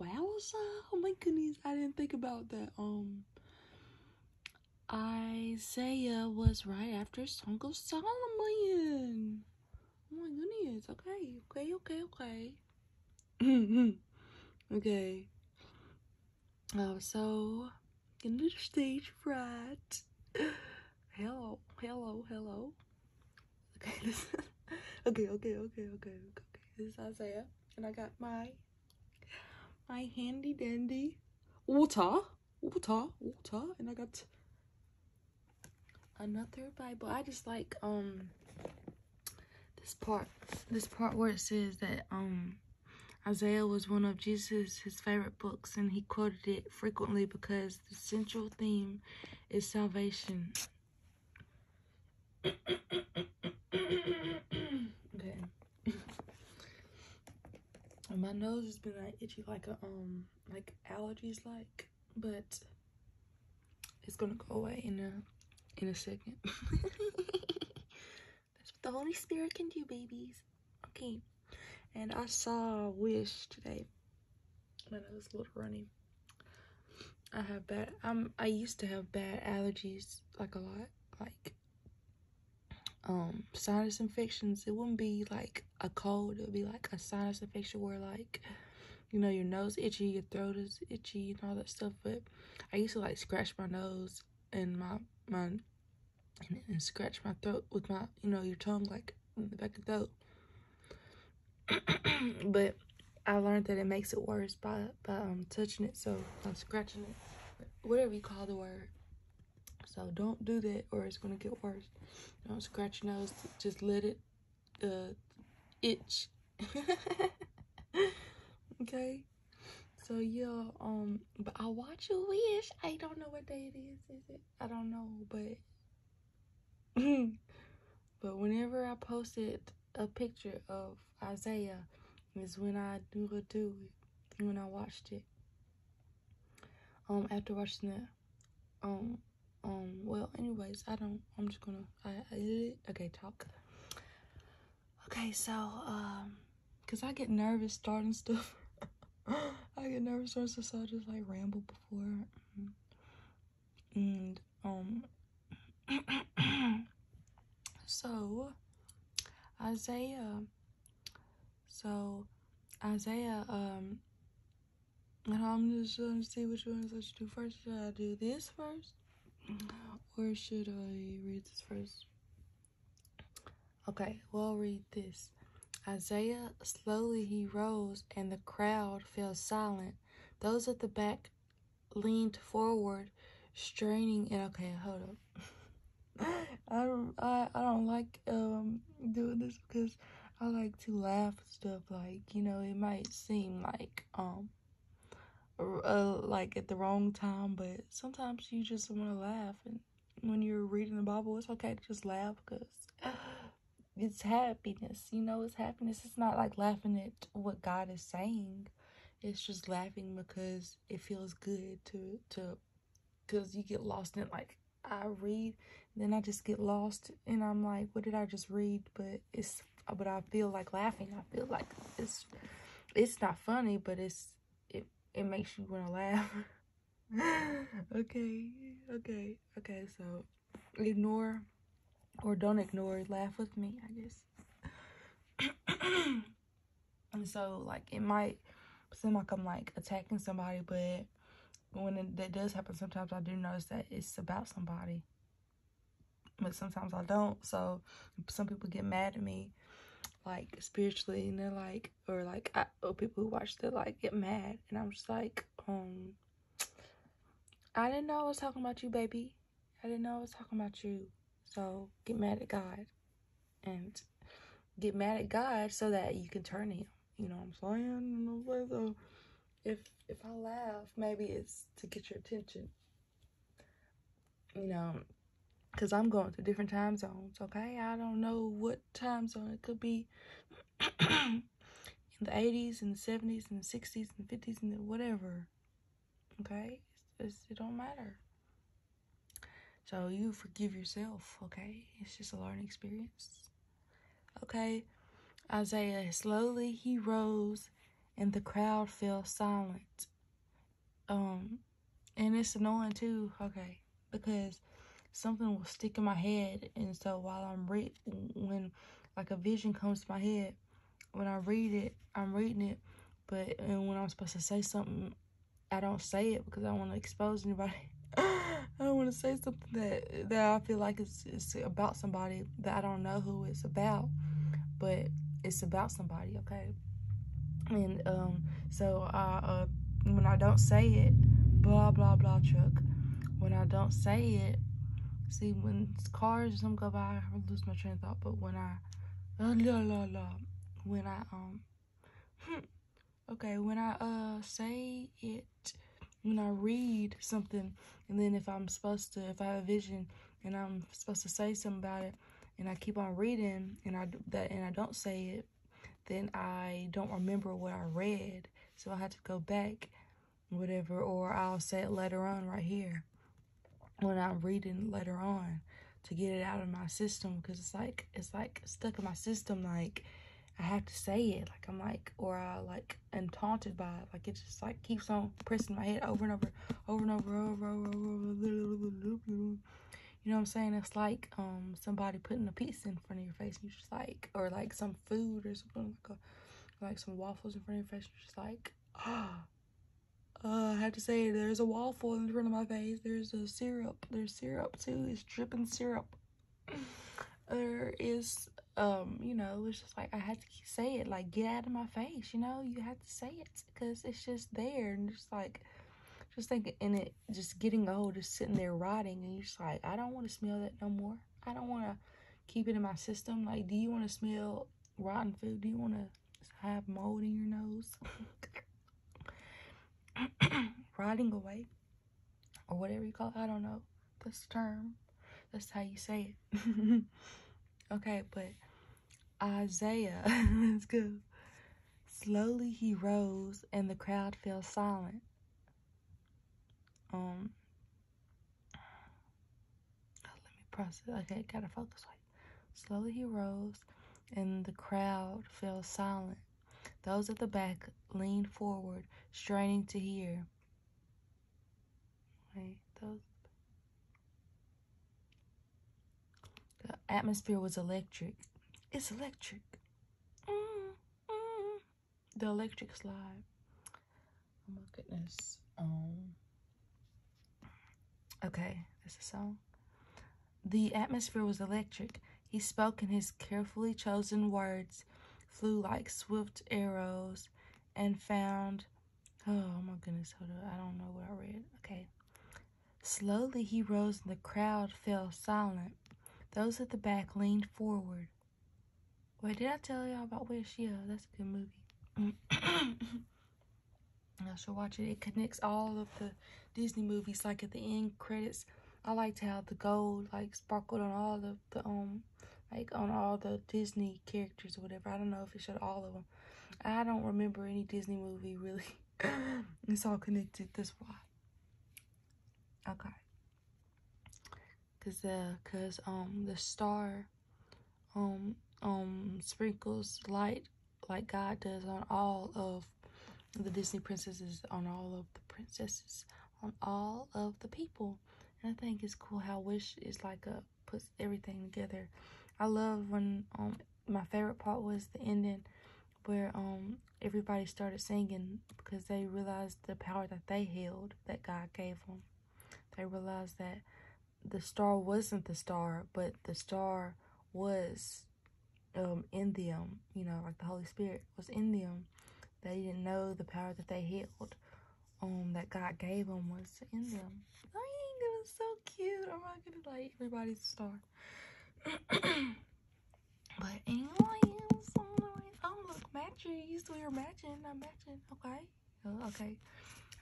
Wowza! Oh my goodness, I didn't think about that. Um, Isaiah was right after Song of Solomon. Oh my goodness. Okay, okay, okay, okay. okay. Um, so, in the stage right? hello, hello, hello. Okay, this okay, okay, okay, okay, okay. This Isaiah, and I got my my handy dandy water, water, water, and I got another Bible. I just like um this part, this part where it says that um Isaiah was one of Jesus' his favorite books, and he quoted it frequently because the central theme is salvation okay. My nose has been like itchy like a um like allergies like, but it's gonna go away in a in a second. That's what the Holy Spirit can do, babies. Okay. And I saw Wish today. My nose a little runny. I have bad, I'm, I used to have bad allergies, like a lot, like, um, sinus infections. It wouldn't be like a cold, it would be like a sinus infection where like, you know, your nose itchy, your throat is itchy and all that stuff. But I used to like scratch my nose and my, my, and, and scratch my throat with my, you know, your tongue like in the back of the throat. but I learned that it makes it worse by by um, touching it, so I'm scratching it, whatever you call the word. So don't do that, or it's gonna get worse. Don't scratch your nose. Just let it uh, itch. okay. So yeah, um, but I watch you wish. I don't know what day it is. Is it? I don't know, but but whenever I posted a picture of Isaiah, it's when I knew do it, when I watched it. Um, after watching that, um, um, well, anyways, I don't, I'm just gonna, I, okay, talk. Okay, so, um, cause I get nervous starting stuff. I get nervous starting stuff, so I just like ramble before. Mm-hmm and um so Isaiah so Isaiah um I'm just going to see which one I should do first. Should I do this first? Or should I read this first? Okay, we'll read this. Isaiah slowly he rose, and the crowd fell silent. Those at the back leaned forward, straining it. Okay, hold up. I don't, I, I don't like um doing this because I like to laugh at stuff. Like you know, it might seem like um uh, like at the wrong time, but sometimes you just want to laugh. And when you're reading the Bible, it's okay to just laugh because it's happiness you know it's happiness it's not like laughing at what god is saying it's just laughing because it feels good to to because you get lost in like i read then i just get lost and i'm like what did i just read but it's but i feel like laughing i feel like it's it's not funny but it's it, it makes you want to laugh okay okay okay so ignore or don't ignore, laugh with me, I guess. and so, like, it might seem like I'm like attacking somebody, but when it, that does happen, sometimes I do notice that it's about somebody, but sometimes I don't. So, some people get mad at me, like spiritually, and they're like, or like, I, or people who watch, they like get mad, and I'm just like, um, I didn't know I was talking about you, baby. I didn't know I was talking about you. So get mad at God and get mad at God so that you can turn him. You know I'm saying? So if if I laugh, maybe it's to get your attention. You know, because I'm going to different time zones, okay? I don't know what time zone it could be. in the 80s and the 70s and the 60s and the 50s and whatever. Okay? it don't matter. So you forgive yourself, okay? It's just a learning experience. Okay? Isaiah, slowly he rose and the crowd fell silent. Um, and it's annoying too, okay? Because something will stick in my head. And so while I'm reading, when like a vision comes to my head. When I read it, I'm reading it, but and when I'm supposed to say something, I don't say it because I don't want to expose anybody. I don't want to say something that that I feel like it's it's about somebody that I don't know who it's about, but it's about somebody, okay? And um, so I uh, when I don't say it, blah blah blah Chuck. When I don't say it, See, when cars or something go by, I lose my train of thought. But when I, uh, la, la, la, when I, um, hmm, okay, when I, uh, say it, when I read something, and then if I'm supposed to, if I have a vision, and I'm supposed to say something about it, and I keep on reading, and I, that, and I don't say it, then I don't remember what I read. So I had to go back whatever, or I'll say it later on right here when I'm reading later on to get it out of my system because it's like it's like stuck in my system like I have to say it like I'm like or I like am taunted by it like it just like keeps on pressing my head over and over over and over over over, over you know what I'm saying it's like um somebody putting a pizza in front of your face and you just like or like some food or something like a, like some waffles in front of me. She's like, ah. Uh, I have to say, there's a waffle in front of my face. There's a syrup. There's syrup too. It's dripping syrup. there is, um, you know, it's just like I had to say it. Like, get out of my face. You know, you have to say it because it's just there and just like, just thinking in it just getting old, just sitting there rotting, and you're just like, I don't want to smell that no more. I don't want to keep it in my system. Like, do you want to smell rotten food? Do you want to have mold in your nose? Rotting away or whatever you call it. I don't know. this term. That's how you say it. okay, but Isaiah, let's go. Slowly he rose and the crowd fell silent. Um, Oh, let me press it. Okay, gotta focus. Wait. Slowly he rose, and the crowd fell silent. Those at the back leaned forward, straining to hear. Wait, those. The atmosphere was electric. It's electric. Mm, mm the electric slide oh my goodness Oh. okay that's a song the atmosphere was electric he spoke in his carefully chosen words flew like swift arrows and found oh my goodness hold on i don't know what i read okay slowly he rose and the crowd fell silent those at the back leaned forward Wait, did I tell y'all about Where She Is? That's a good movie. I should watch it. It connects all of the Disney movies. Like at the end credits, I liked how the gold like sparkled on all of the um like on all the Disney characters or whatever. I don't know if it showed all of them. I don't remember any Disney movie really. it's all connected. That's why. Okay cause the cause um the star um um sprinkles light like God does on all of the Disney princesses, on all of the princesses, on all of the people. And I think it's cool how Wish is like a puts everything together. I love when um my favorite part was the ending where um everybody started singing because they realized the power that they held that God gave them. They realized that the star wasn't the star, but the star was um, in them, you know, like the Holy Spirit was in them. They didn't know the power that they held, um, that God gave them was in them. Dang, that was so cute. I'm not gonna like everybody's star. but anyway. Oh look matching. You still your matching, not matching, okay? Oh, okay.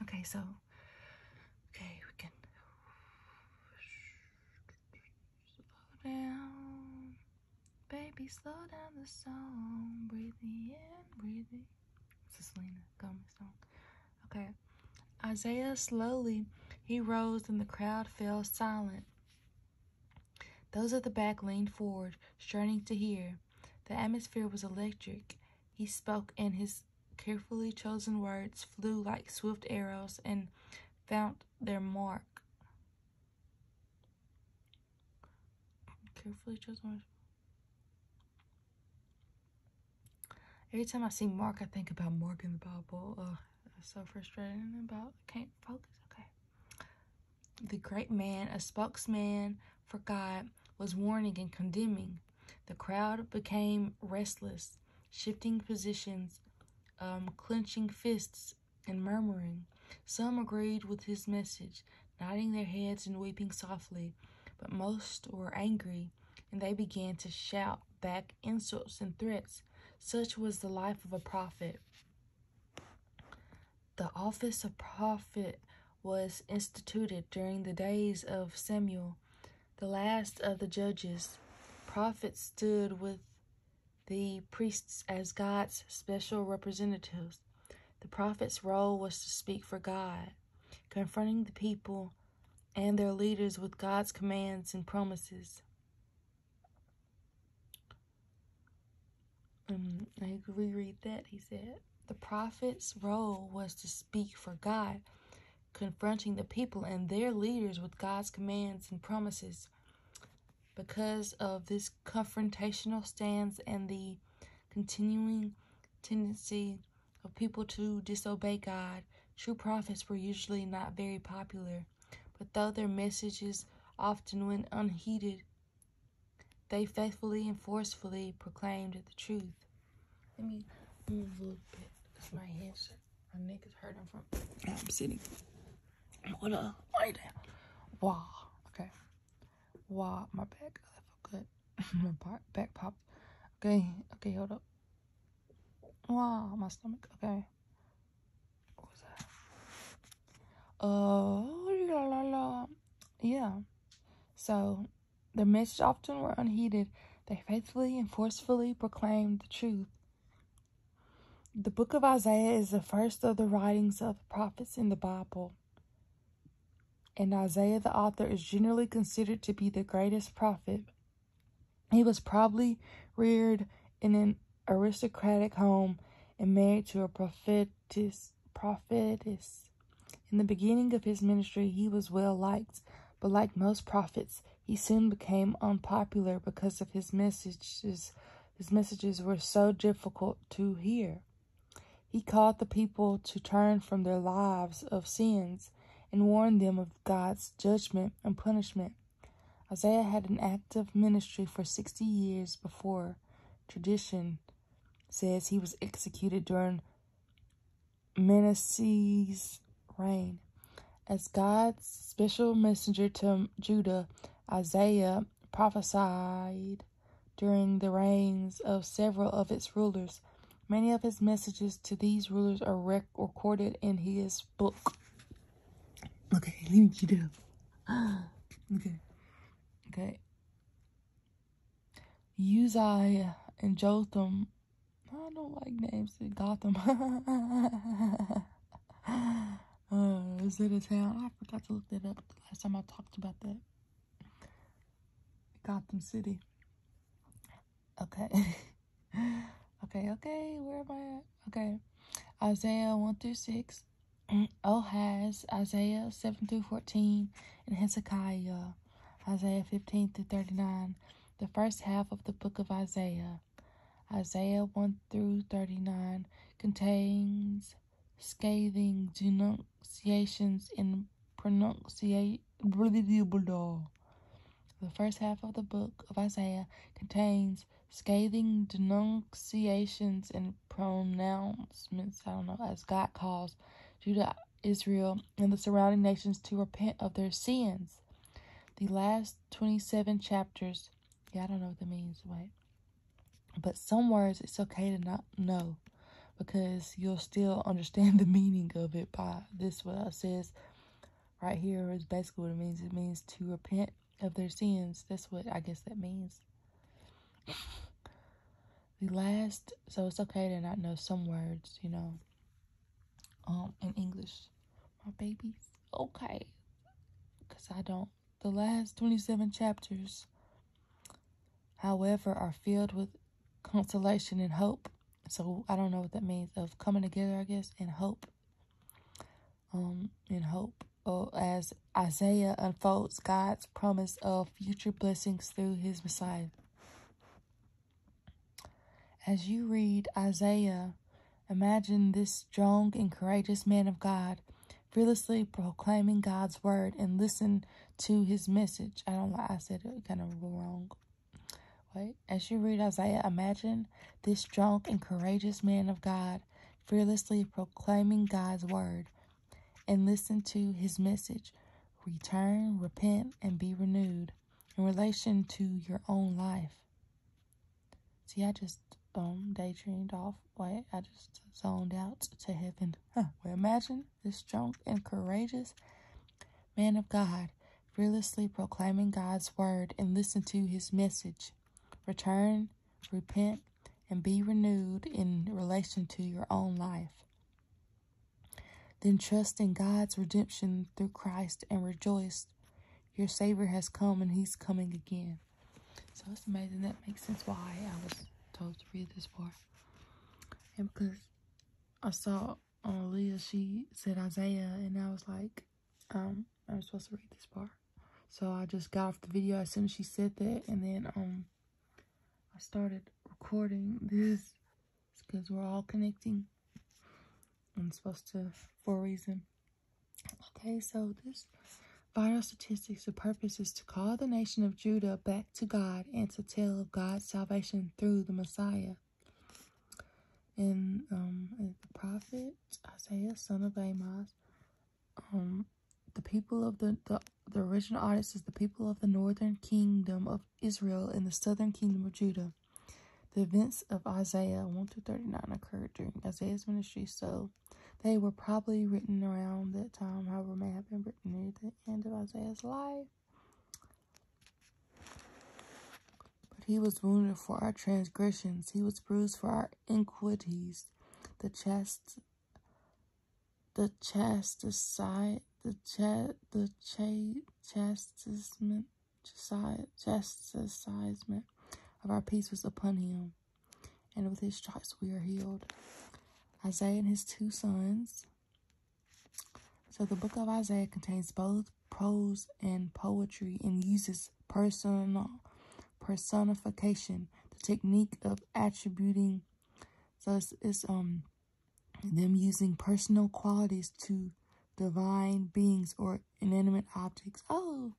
Okay, so okay, we can slow down. Baby, slow down the song. Breathe in, breathing. It's a Selena Gomez song. Okay. Isaiah slowly he rose and the crowd fell silent. Those at the back leaned forward, straining to hear. The atmosphere was electric. He spoke, and his carefully chosen words flew like swift arrows and found their mark. Carefully chosen Every time I see Mark, I think about Mark in the Bible. Uh, it's so frustrating about I can't focus. Okay. The great man, a spokesman for God, was warning and condemning. The crowd became restless, shifting positions, um, clenching fists, and murmuring. Some agreed with his message, nodding their heads and weeping softly, but most were angry, and they began to shout back insults and threats. Such was the life of a prophet. The office of prophet was instituted during the days of Samuel, the last of the judges. Prophets stood with the priests as God's special representatives. The prophet's role was to speak for God, confronting the people and their leaders with God's commands and promises. Um, I could reread that. He said, The prophet's role was to speak for God, confronting the people and their leaders with God's commands and promises. Because of this confrontational stance and the continuing tendency of people to disobey God, true prophets were usually not very popular. But though their messages often went unheeded, they faithfully and forcefully proclaimed the truth. Let me move a little bit because my hands, my neck is hurting from. I'm sitting. What a lay down. Wow. Okay. Wow. My back. I feel good. my back popped. Okay. Okay. Hold up. Wow. My stomach. Okay what was that? Uh, la la la. Yeah. So, their message often were unheeded. They faithfully and forcefully proclaimed the truth. The book of Isaiah is the first of the writings of the prophets in the Bible. And Isaiah, the author, is generally considered to be the greatest prophet. He was probably reared in an aristocratic home and married to a prophetess. prophetess. In the beginning of his ministry, he was well liked, but like most prophets, he soon became unpopular because of his messages. His messages were so difficult to hear. He called the people to turn from their lives of sins and warned them of God's judgment and punishment. Isaiah had an active ministry for 60 years before tradition says he was executed during Manasseh's reign. As God's special messenger to Judah, Isaiah prophesied during the reigns of several of its rulers. Many of his messages to these rulers are recorded in his book. Okay, let me get up. Okay. Okay. Uzziah and Jotham. I don't like names in Gotham. Uh, is it a town? I forgot to look that up last time I talked about that. Gotham City. Okay. okay, okay. Where am I Okay. Isaiah 1 through 6. Ohaz, Isaiah 7 through 14, and Hezekiah, Isaiah 15 through 39, the first half of the book of Isaiah. Isaiah 1 through 39 contains scathing denunciations in pronunciations and pronunciate. The first half of the book of Isaiah contains scathing denunciations and pronouncements, I don't know, as God calls Judah, Israel, and the surrounding nations to repent of their sins. The last 27 chapters, yeah, I don't know what that means, wait. But some words it's okay to not know because you'll still understand the meaning of it by this what it says right here is basically what it means. It means to repent of their sins. That's what I guess that means. The last, so it's okay to not know some words, you know, um, in English. My babies, okay, because I don't. The last 27 chapters, however, are filled with consolation and hope. So I don't know what that means of coming together, I guess, and hope um, and hope. Oh, as Isaiah unfolds God's promise of future blessings through his Messiah. As you read Isaiah, imagine this strong and courageous man of God fearlessly proclaiming God's word and listen to his message. I don't know, I said it kind of wrong. Wait, as you read Isaiah, imagine this strong and courageous man of God fearlessly proclaiming God's word, and listen to his message return, repent, and be renewed in relation to your own life. See, I just um daydreamed off. Wait, I just zoned out to heaven. Huh. Well, imagine this strong and courageous man of God fearlessly proclaiming God's word and listen to his message. Return, repent, and be renewed in relation to your own life. Then trust in God's redemption through Christ and rejoice. Your Savior has come and He's coming again. So it's amazing. That makes sense why I was told to read this part. And because I saw on Leah, she said Isaiah, and I was like, um, I'm supposed to read this part. So I just got off the video as soon as she said that. And then um, I started recording this because we're all connecting. I'm supposed to, for a reason. Okay, so this vital statistics, the purpose is to call the nation of Judah back to God and to tell of God's salvation through the Messiah. And um, the prophet Isaiah, son of Amos, um, the people of the, the original artist is the people of the northern kingdom of Israel and the southern kingdom of Judah. The events of Isaiah 1 to 39 occurred during Isaiah's ministry, so they were probably written around that time, however, may have been written near the end of Isaiah's life. But he was wounded for our transgressions, he was bruised for our iniquities. The chest, the chest, the cha- the cha- chastisement chastisement of our peace was upon him, and with his stripes we are healed. Isaiah and his two sons. So the book of Isaiah contains both prose and poetry and uses personal personification, the technique of attributing. So it's, um them using personal qualities to divine beings or inanimate objects. Oh.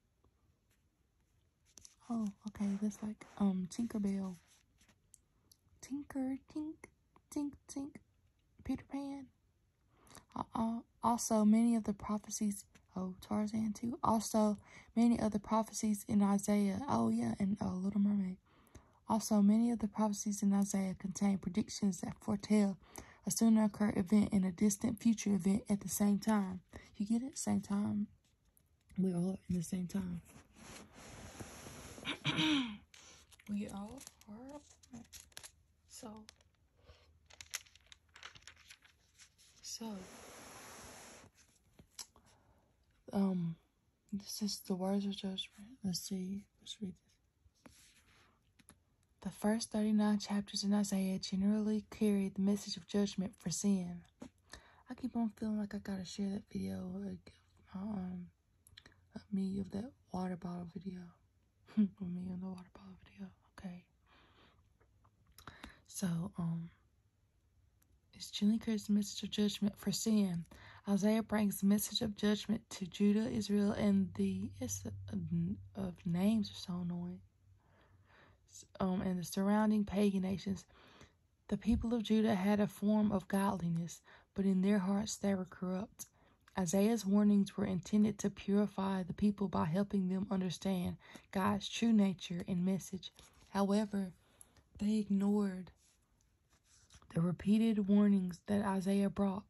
Oh, okay. That's like um Tinker Bell. Tinker, tink, tink, tink. Peter Pan. Uh also many of the prophecies of oh, Tarzan too. Also many of the prophecies in Isaiah. Oh yeah, and uh, Little Mermaid. Also many of the prophecies in Isaiah contain predictions that foretell a soon to occur event and a distant future event at the same time. You get it? Same time. We all in the same time. we all so so, um, this is the words of judgment. Let's see. Let's read this. The first 39 chapters in Isaiah generally carry the message of judgment for sin. I keep on feeling like I gotta share that video, like um, me of that water bottle video, me on the water bottle video. Okay. So, um, it's Julie carries the message of judgment for sin. Isaiah brings the message of judgment to Judah, Israel, and the of names are so annoying. Um, and the surrounding pagan nations. The people of Judah had a form of godliness, but in their hearts they were corrupt. Isaiah's warnings were intended to purify the people by helping them understand God's true nature and message. However, they ignored the repeated warnings that Isaiah brought.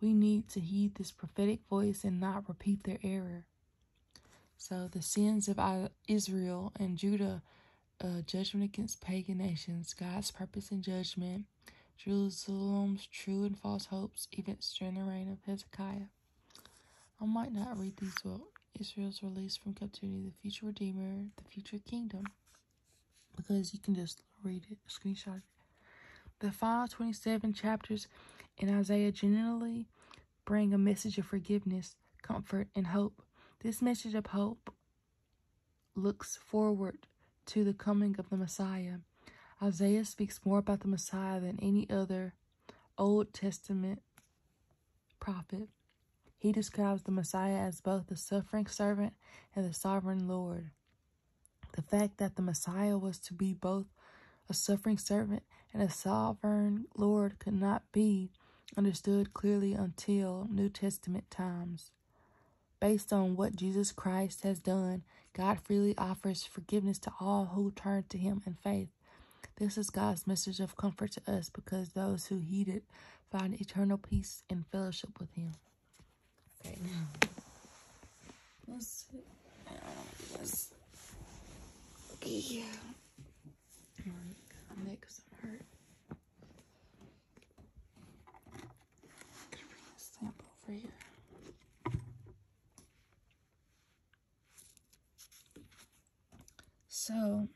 We need to heed this prophetic voice and not repeat their error. So, the sins of Israel and Judah, judgment against pagan nations, God's purpose and judgment, Jerusalem's true and false hopes, even strained reign of Hezekiah. I might not read these well. Israel's release from captivity, the future Redeemer, the future kingdom, because you can just read it, screenshot it. The final 27 chapters in Isaiah generally bring a message of forgiveness, comfort, and hope. This message of hope looks forward to the coming of the Messiah. Isaiah speaks more about the Messiah than any other Old Testament prophet. He describes the Messiah as both the suffering servant and the sovereign Lord. The fact that the Messiah was to be both a suffering servant and a sovereign Lord could not be understood clearly until New Testament times. Based on what Jesus Christ has done God freely offers forgiveness to all who turn to Him in faith. This is God's message of comfort to us because those who heed it find eternal peace and fellowship with Him. Okay, now. Let's yeah. Right, next, i hurt. bring this lamp over here. So,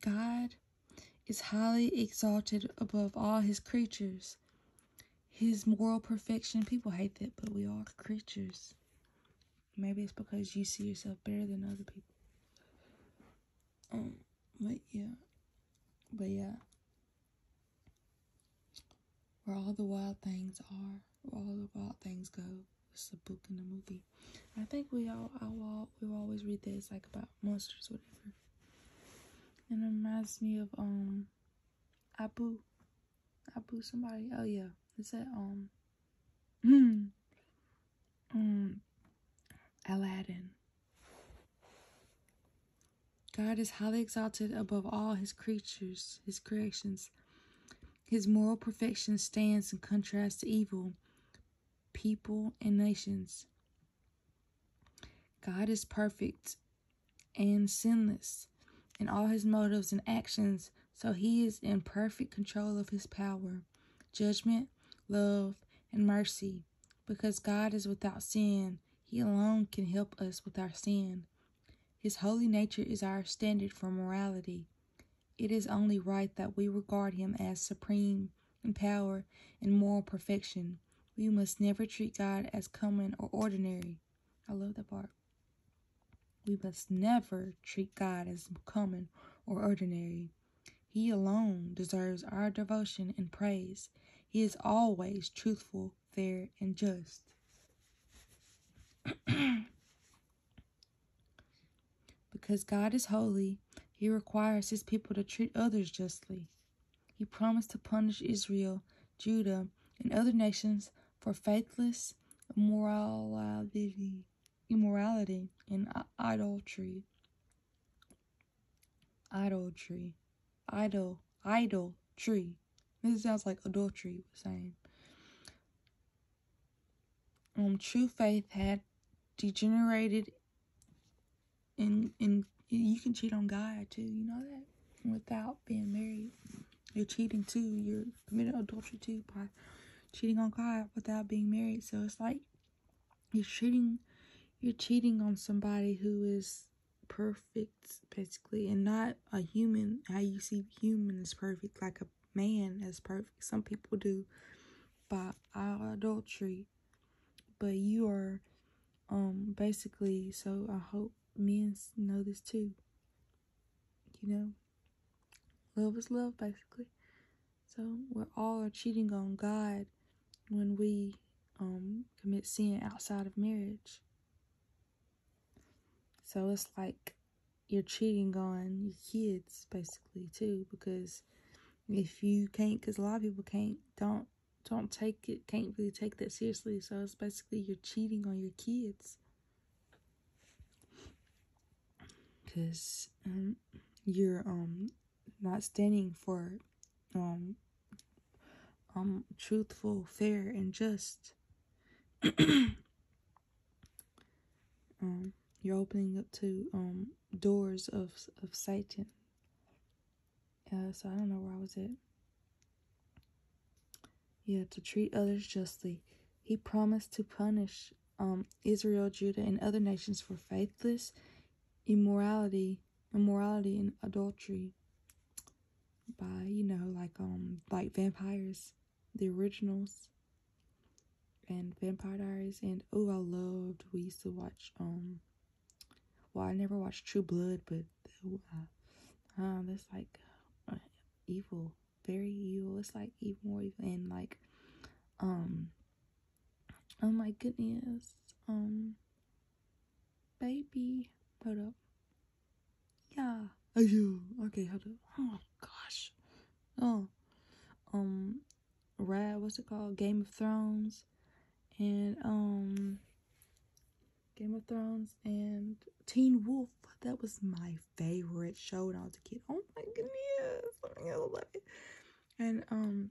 God is highly exalted above all his creatures. His moral perfection, people hate that, but we are creatures. Maybe it's because you see yourself better than other people. Um, but yeah. But yeah. Where all the wild things are, where all the wild things go. It's a book and a movie. I think we all, I will, we will always read this like about monsters, whatever. And it reminds me of um, Abu, Abu somebody. Oh yeah, it's that um, um, Aladdin. God is highly exalted above all his creatures, his creations. His moral perfection stands in contrast to evil, people, and nations. God is perfect and sinless in all his motives and actions, so he is in perfect control of his power, judgment, love, and mercy. Because God is without sin, he alone can help us with our sin. His holy nature is our standard for morality. It is only right that we regard him as supreme in power and moral perfection. We must never treat God as common or ordinary. I love that part. We must never treat God as common or ordinary. He alone deserves our devotion and praise. He is always truthful fair, and just. because God is holy, he requires his people to treat others justly. He promised to punish Israel, Judah, and other nations for faithless immorality, immorality and idolatry. Idolatry. Idol. Idol. Tree. This sounds like adultery was saying. Um, true faith had degenerated and and you can cheat on God too, you know that? Without being married. You're cheating too, you're committing adultery too by cheating on God without being married. So it's like you're cheating you're cheating on somebody who is perfect basically and not a human how you see human is perfect like a man is perfect some people do by adultery but you are um basically so i hope men know this too you know love is love basically so we're all are cheating on god when we um commit sin outside of marriage so it's like you're cheating on your kids basically too because if you can't because a lot of people can't don't don't take it can't really take that seriously so it's basically you're cheating on your kids because um, you're um not standing for um um, truthful, fair, and just. um, you're opening up to um, doors of of Satan. Uh, so I don't know where I was at. Yeah, to treat others justly. He promised to punish um, Israel, Judah, and other nations for faithless immorality immorality and adultery by you know like um like vampires the originals and vampire diaries and oh i loved we used to watch um well i never watched true blood but ooh, uh, uh, that's like uh, evil very evil it's like even more evil and like um oh my goodness um baby hold up yeah, I do. Okay, how do? Oh gosh. Oh, um, Rad. What's it called? Game of Thrones, and um, Game of Thrones and Teen Wolf. That was my favorite show when I was a kid. Oh my goodness, I love it. And um,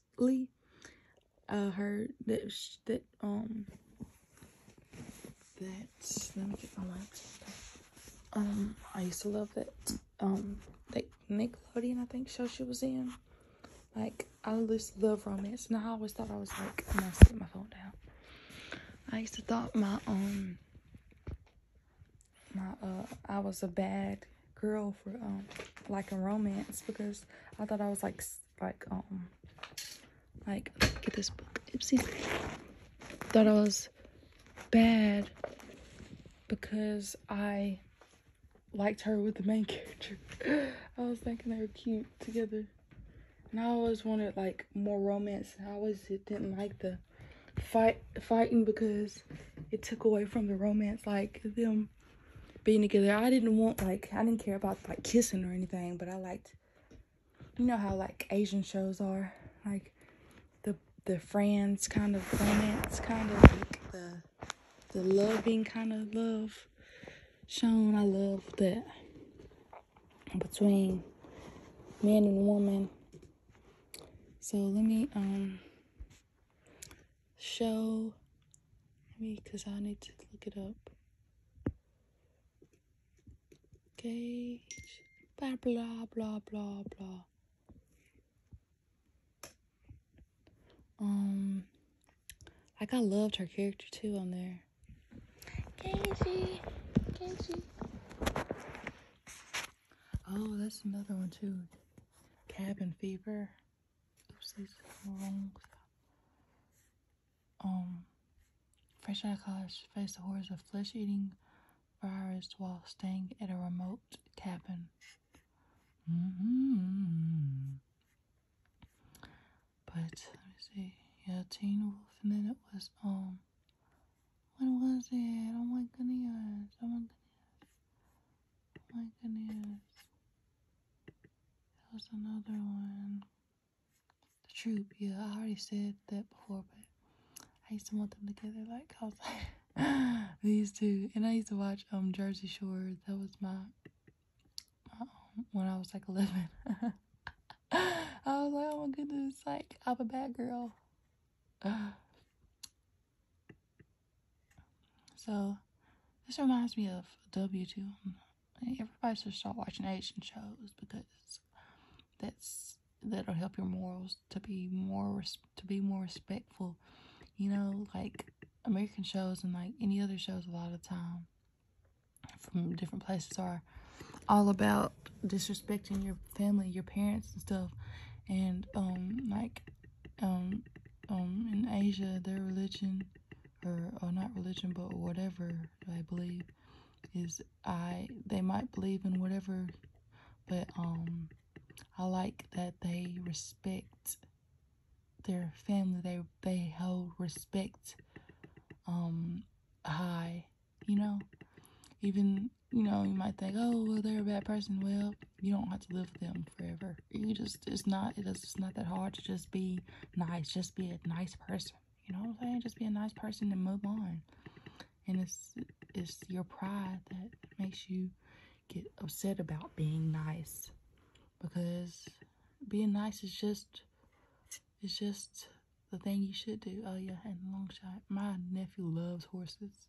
recently uh, heard that that um that let me get my laptop. Um, I used to love that um like that Nickelodeon I think show she was in. Like I just love romance, and I always thought I was like I used to thought my um my uh I was a bad girl for um like a romance because I thought I was like like um like get this book Ipsy thought I was bad because I liked her with the main character. I was thinking they were cute together. And I always wanted like more romance. I always didn't like the fight fighting because it took away from the romance like them being together. I didn't want like I didn't care about like kissing or anything, but I liked you know how like Asian shows are like the the friends kind of romance kind of like the the loving kind of love shown. I love that between man and woman. So let me um show. me, because I need to look it up. Okay, Blah, blah, blah, blah, blah. Um, like I loved her character too on there. Kenzie, Kenzie. Oh, that's another one too. Cabin fever. Um, fresh out of college, faced the horrors of flesh-eating virus while staying at a remote cabin. mm But let me see. Yeah, Teen Wolf, and then it was um. When was it? Oh my goodness! Oh my goodness! Oh my goodness! That was another one. The troop, yeah. I already said that before, but I used to want them together like I like these two. And I used to watch um Jersey Shore. That was my, my um, when I was like eleven. I was like, oh my goodness, like I'm a bad girl. So this reminds me of W2. Everybody should start watching Asian shows because that's that'll help your morals to be more to be more respectful. You know, like American shows and like any other shows, a lot of time from different places are all about disrespecting your family, your parents and stuff, and um like um, um, in Asia, their religion, or, or not religion, but whatever I believe, is I, they might believe in whatever, but, um, I like that they respect their family. They, they hold respect, um, high, you know, even, you know, you might think, oh, well, they're a bad person. Well, you don't have to live with them forever. You just, it's not, it's not that hard to just be nice. Just be a nice person. You know what I'm saying? Just be a nice person and move on. And it's, it's your pride that makes you get upset about being nice. Because being nice is just, it's just the thing you should do. Oh yeah, and long shot. My nephew loves horses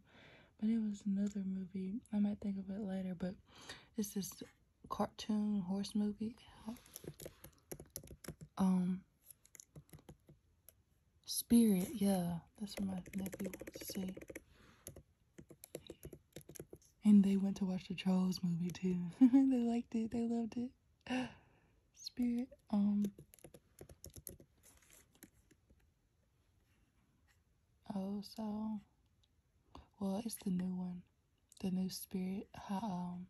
But it was another movie. I might think of it later, but it's this cartoon horse movie. Um, Spirit, yeah, that's what my nephew wants to see. And they went to watch the Trolls movie too. they liked it, they loved it. Spirit, um, Oh, so well, it's the new one, the new spirit. Um,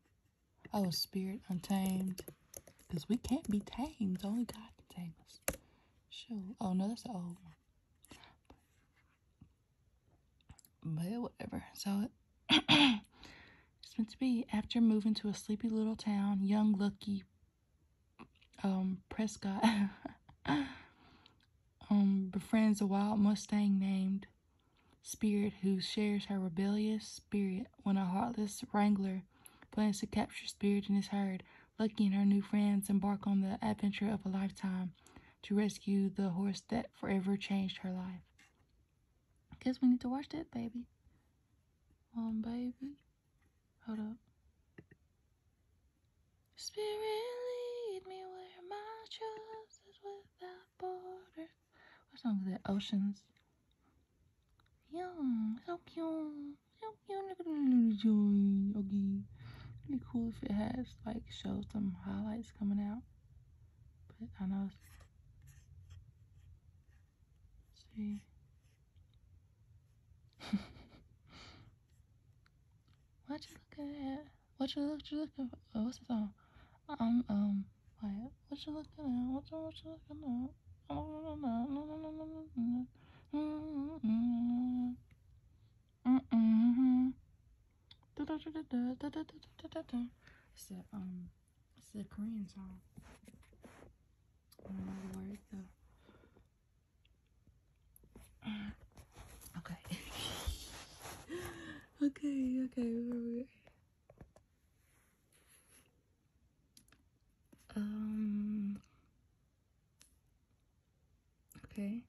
oh, spirit untamed, because we can't be tamed. Only God can tame us. Sure. Oh no, that's the old one. But whatever. So it's meant to be. After moving to a sleepy little town, young Lucky um, Prescott um, befriends a wild Mustang named Spirit, who shares her rebellious spirit when a heartless wrangler plans to capture Spirit and his herd. Lucky and her new friends embark on the adventure of a lifetime to rescue the horse that forever changed her life. Guess we need to watch that, baby. Um, baby. Hold up. Spirit, lead me where my trust is without borders. What song is that? Oceans. Yeah, so cute. So cute. Look at be cool if it has, like, show some highlights coming out. But I know see. what you looking at? What you, what you looking for? Oh, what's the song? I'm um quiet. Um, what you looking at? What you, what you looking at? It's a um, it's a Korean song. Okay. okay, okay, um, okay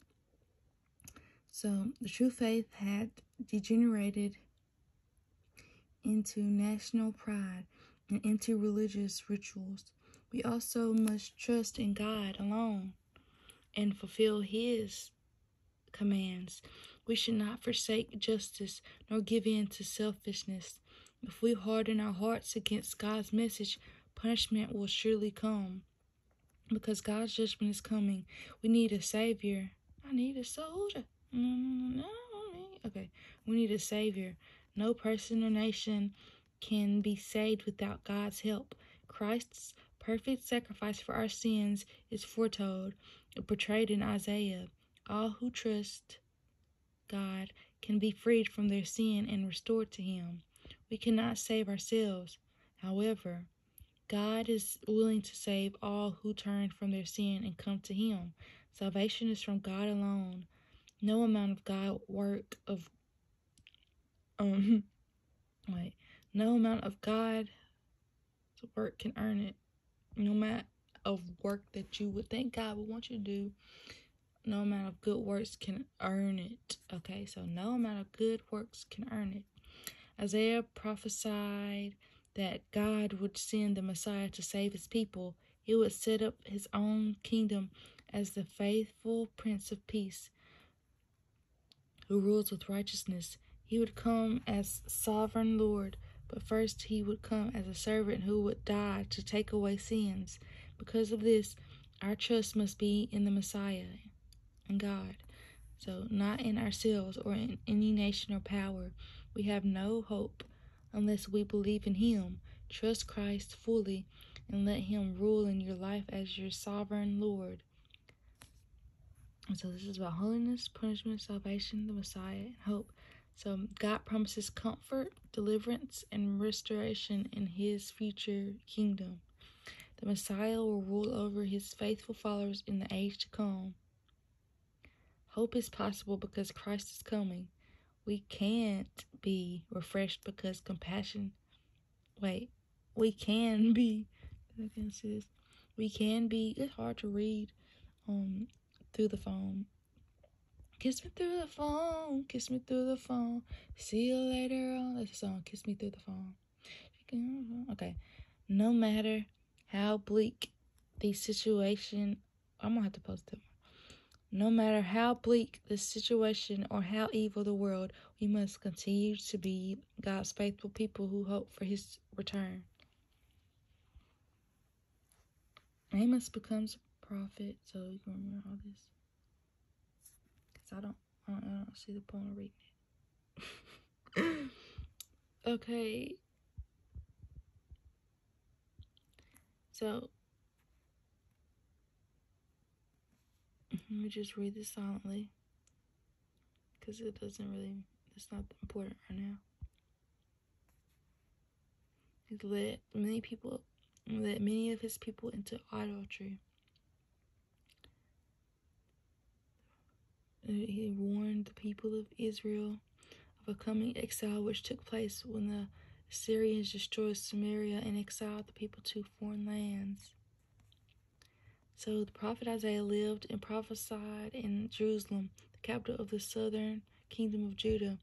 so the true faith had degenerated into national pride and into religious rituals. We also must trust in God alone and fulfill His commands. We should not forsake justice nor give in to selfishness. If we harden our hearts against God's message, punishment will surely come. Because God's judgment is coming, we need a Savior. I need a soldier. Okay, we need a Savior. No person or nation can be saved without God's help. Christ's perfect sacrifice for our sins is foretold and portrayed in Isaiah. All who trust God can be freed from their sin and restored to Him. We cannot save ourselves. However, God is willing to save all who turn from their sin and come to Him. Salvation is from God alone no amount of God work of um like no amount of God work can earn it. No amount of work that you would think God would want you to do, no amount of good works can earn it. Okay, so no amount of good works can earn it. Isaiah prophesied that God would send the Messiah to save his people he would set up his own kingdom as the faithful Prince of Peace, who rules with righteousness. He would come as sovereign Lord, but first he would come as a servant who would die to take away sins. Because of this, our trust must be in the Messiah, in God. So, not in ourselves or in any nation or power. We have no hope unless we believe in Him, trust Christ fully, and let Him rule in your life as your sovereign Lord. so, this is about holiness, punishment, salvation, the Messiah, and hope. So, God promises comfort, deliverance, and restoration in His future kingdom. The Messiah will rule over His faithful followers in the age to come. Hope is possible because Christ is coming. We can't be refreshed because compassion. Wait, we can be. We can be. It's hard to read um, through the phone. Kiss me through the phone, kiss me through the phone. See you later on. That's a song, Kiss Me Through the Phone. Okay. No matter how bleak the situation I'm gonna have to post it. No matter how bleak the situation or how evil the world, we must continue to be God's faithful people who hope for his return. Amos becomes a prophet, so you can remember all this. Cause I don't, I don't see the point of reading it. okay. So, let me just read this silently because it doesn't really, it's not important right now. He led many people, led many of his people into idolatry. He warned the people of Israel of a coming exile which took place when the Syrians destroyed Samaria and exiled the people to foreign lands. So the prophet Isaiah lived and prophesied in Jerusalem, the capital of the southern kingdom of Judah.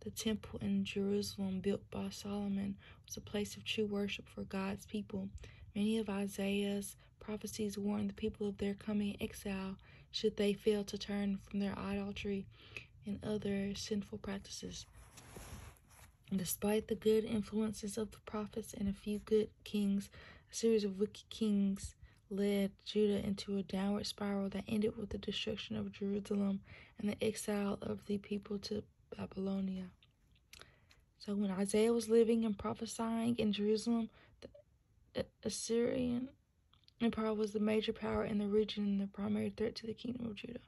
The temple in Jerusalem, built by Solomon, was a place of true worship for God's people. Many of Isaiah's prophecies warned the people of their coming exile should they fail to turn from their idolatry and other sinful practices. Despite the good influences of the prophets and a few good kings, a series of wicked kings led Judah into a downward spiral that ended with the destruction of Jerusalem and the exile of the people to Babylonia. So when Isaiah was living and prophesying in Jerusalem, the Assyrian Empire was the major power in the region and the primary threat to the kingdom of Judah.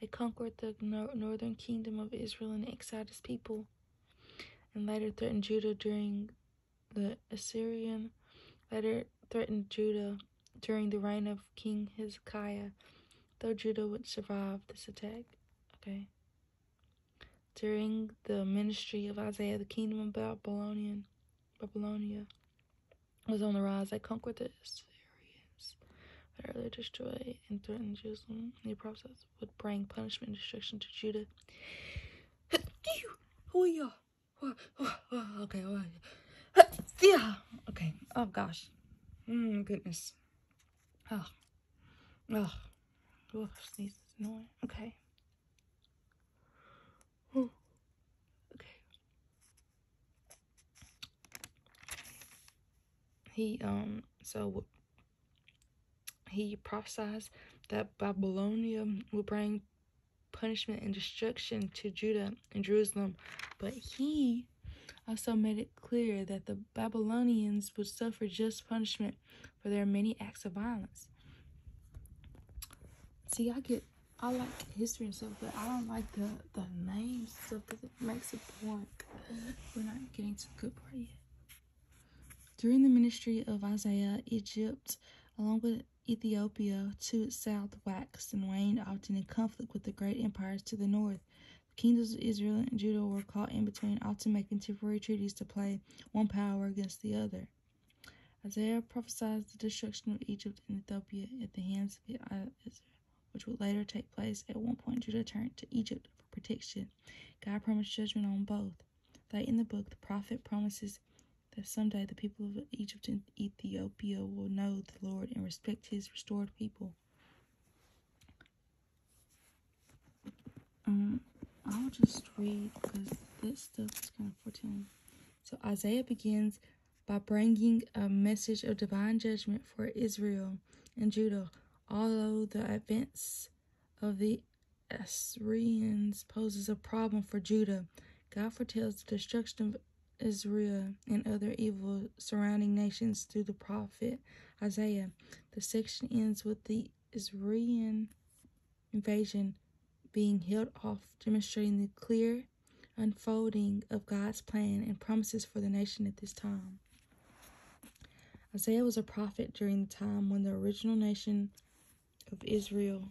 They conquered the northern kingdom of Israel and exiled its people, and later threatened Judah during the Assyrian, later threatened Judah during the reign of King Hezekiah, though Judah would survive this attack. Okay. During the ministry of Isaiah, the kingdom of Babylonian Babylonia was on the rise that conquered the Assyrians, but destroyed and threatened Jerusalem. The prophets would bring punishment and destruction to Judah. Okay, yeah, okay. Oh gosh, mm, goodness. Oh, oh, Okay. He um so he prophesies that Babylonia will bring punishment and destruction to Judah and Jerusalem, but he also made it clear that the Babylonians would suffer just punishment for are many acts of violence. See, I get, I like history and stuff, but I don't like the, the names stuff because it makes it boring. We're not getting to the good part yet. During the ministry of Isaiah, Egypt, along with Ethiopia to its south, waxed and waned, often in conflict with the great empires to the north. The kingdoms of Israel and Judah were caught in between, often making temporary treaties to play one power against the other. Isaiah prophesied the destruction of Egypt and Ethiopia at the hands of Israel, which would later take place. At one point, Judah turned to Egypt for protection. God promised judgment on both. Late in the book, the prophet promises that someday the people of Egypt and Ethiopia will know the Lord and respect his restored people. Um, I'll just read because this stuff is kind of foretelling. So Isaiah begins by bringing a message of divine judgment for Israel and Judah, although the events of the Assyrians poses a problem for Judah. God foretells the destruction of Israel and other evil surrounding nations through the prophet Isaiah. The section ends with the Assyrian invasion being healed off, demonstrating the clear unfolding of God's plan and promises for the nation at this time. Isaiah was a prophet during the time when the original nation of Israel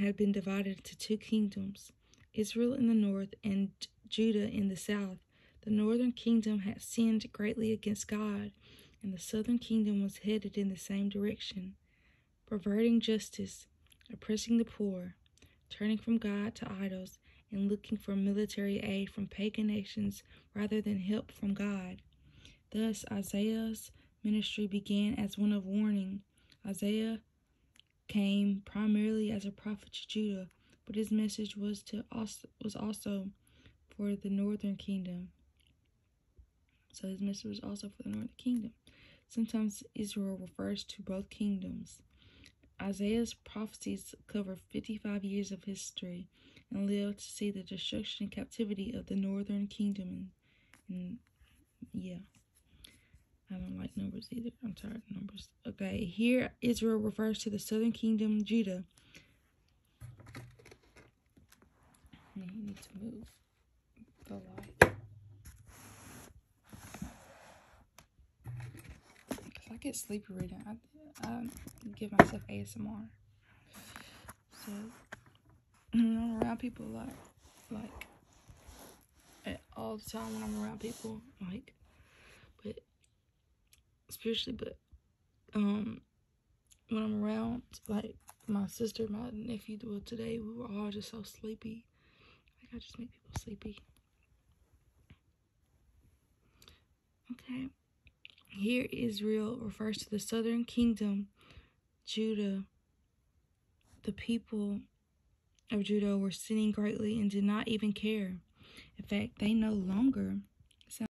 had been divided into two kingdoms Israel in the north and Judah in the south. The northern kingdom had sinned greatly against God and the southern kingdom was headed in the same direction, perverting justice, oppressing the poor, turning from God to idols, and looking for military aid from pagan nations rather than help from God. Thus, Isaiah's ministry began as one of warning. Isaiah came primarily as a prophet to Judah, but his message was to was also for the northern kingdom. So his mission was also for the northern kingdom. Sometimes Israel refers to both kingdoms. Isaiah's prophecies cover 55 years of history and live to see the destruction and captivity of the northern kingdom. yeah, I don't like numbers either. I'm tired of numbers. Okay, here Israel refers to the southern kingdom, Judah. Now need to move the light. If I get sleepy reading, I, give myself ASMR. So, when I'm around people, a like, like, all the time when I'm around people, like, but, especially, but, um, when I'm around, like my sister, my nephew, well, today we were all just so sleepy. Like, I just make people sleepy. Okay. Here, Israel refers to the southern kingdom, Judah. The people of Judah were sinning greatly and did not even care. In fact, they no longer